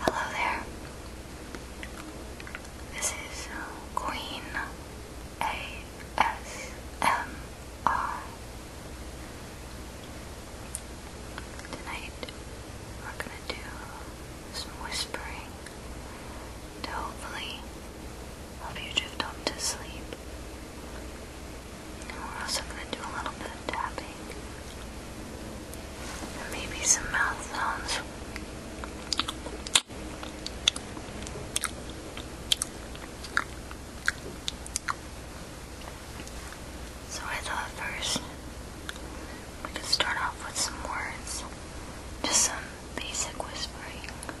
Hello there. This is uh, Queen ASMR. Tonight we're gonna do some whispering to hopefully help you drift off to sleep we're also going to do a little bit of tapping. maybe some mouth sounds. So I thought first we could start off with some words, just some basic whispering.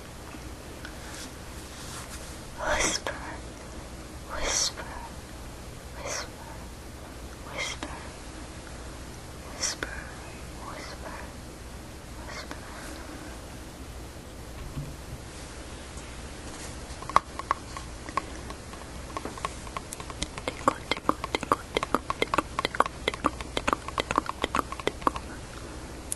Whisper, whisper, whisper, whisper, whisper, whisper, whisper. Tickle, tickle, tickle, tickle, tickle, tickle, tickle, tickle, tickle, tickle.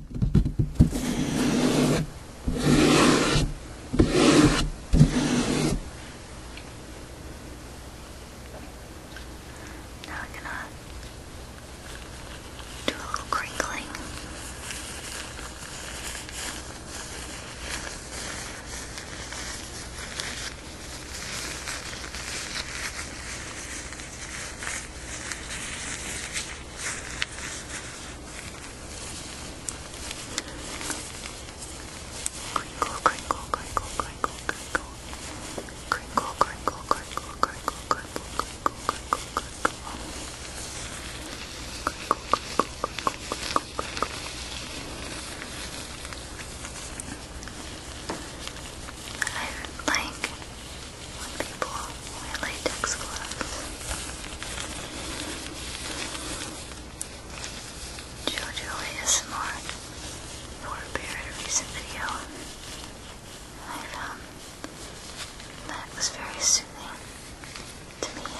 Now we're gonna do a little crinkling. Now Crinkle, crinkle, crinkle, crinkle, crinkle. Crinkle, crinkle, crinkle, crinkle, crinkle, crinkle, crinkle, crinkle. Crinkle, crinkle, crinkle, crinkle, crinkle. I like when people wear latex gloves. Jojo ASMR for prepared a recent video. I found that was very soothing to me.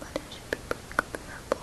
but it should be comparable.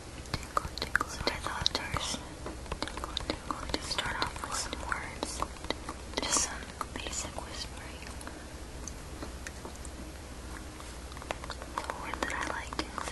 Tingle, tingle, tingle, tingle, to start off with some words, just some basic whispering. The word that I like is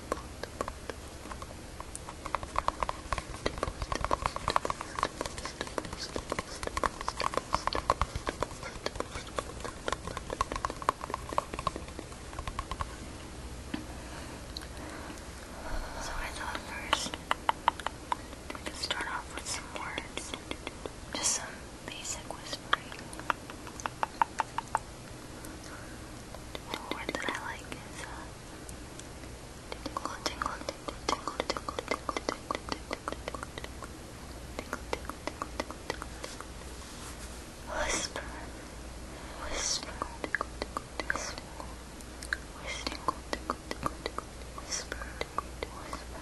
So I thought first we could start off with some words. Just some basic whispering. The that I like is uh, tingle, tingle, tingle, tingle, tingle, tingle, tingle, tingle, tingle, tingle, tingle, tingle, whisper, whisper, tingle, tingle, whisper, tingle, tingle, tingle, whisper, tingle, whisper,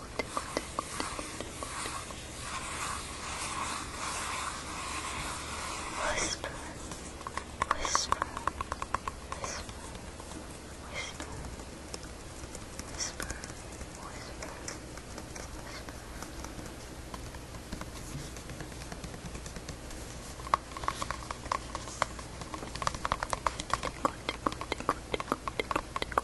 Whisper, whisper, whisper, whisper, whisper, whisper, whisper.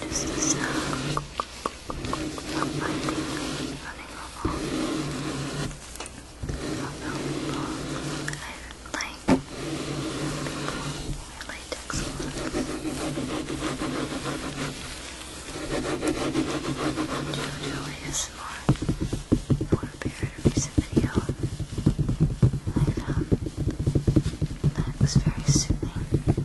This is a uh, finding me running along. Although people, I like people latex a lot. JoJo for a period of recent video. I found that was very soothing.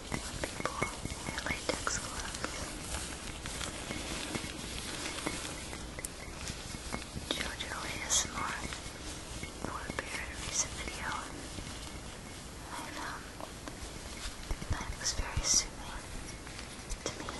people wear latex gloves. Jojo ASMR, who appeared in a recent video, I found that it very soothing to me.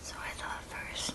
So I thought first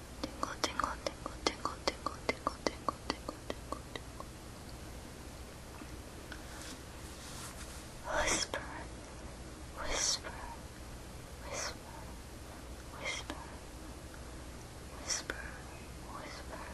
tingle, tingle, tingle, tingle, tingle, tingle, tingle, tingle, tingle, tingle. Whisper, whisper, whisper, whisper, whisper, whisper, whisper.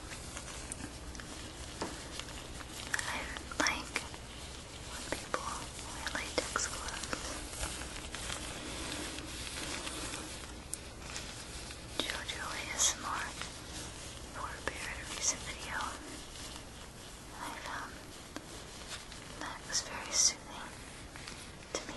I like people wear latex gloves. Jojo ASMR prepared a recent video. I found that was very soothing to me.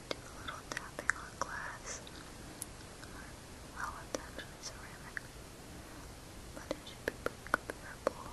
to do little tapping on glass. Well, it's actually ceramic, but it should be pretty comparable.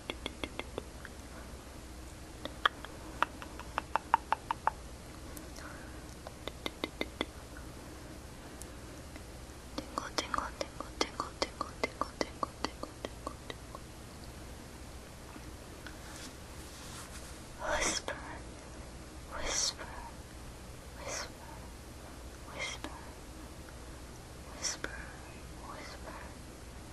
Tingle, tingle, tingle, tingle, tingle, tingle, tingle, tingle, tingle, tingle. Whisper, whisper, whisper, whisper, whisper, whisper, whisper,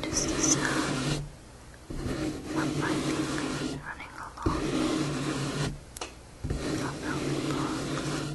Just the sound of my fingers running along a velvet box.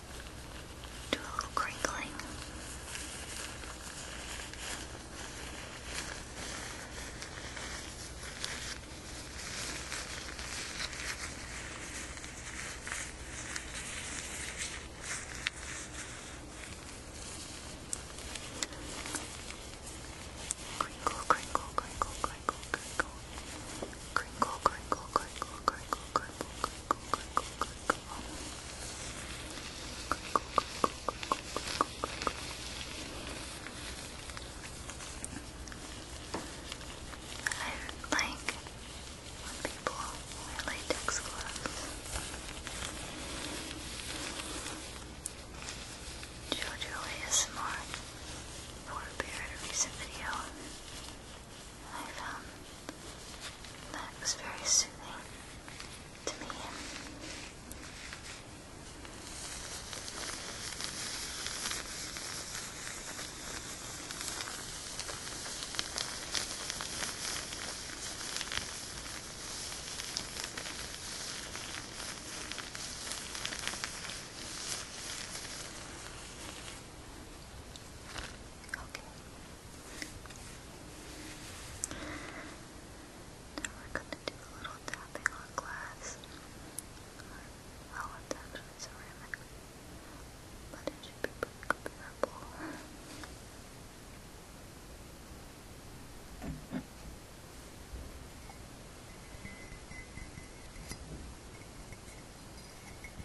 Do a little crinkling. Crinkle, crinkle, crinkle, crinkle, crinkle crinkle, crinkle, I like people wear latex gloves. JoJo ASMR for a recent video I found um, that was very soothing to me. Okay. Now we're going to do a little tapping on glass. Oh, it's actually But it should be comparable.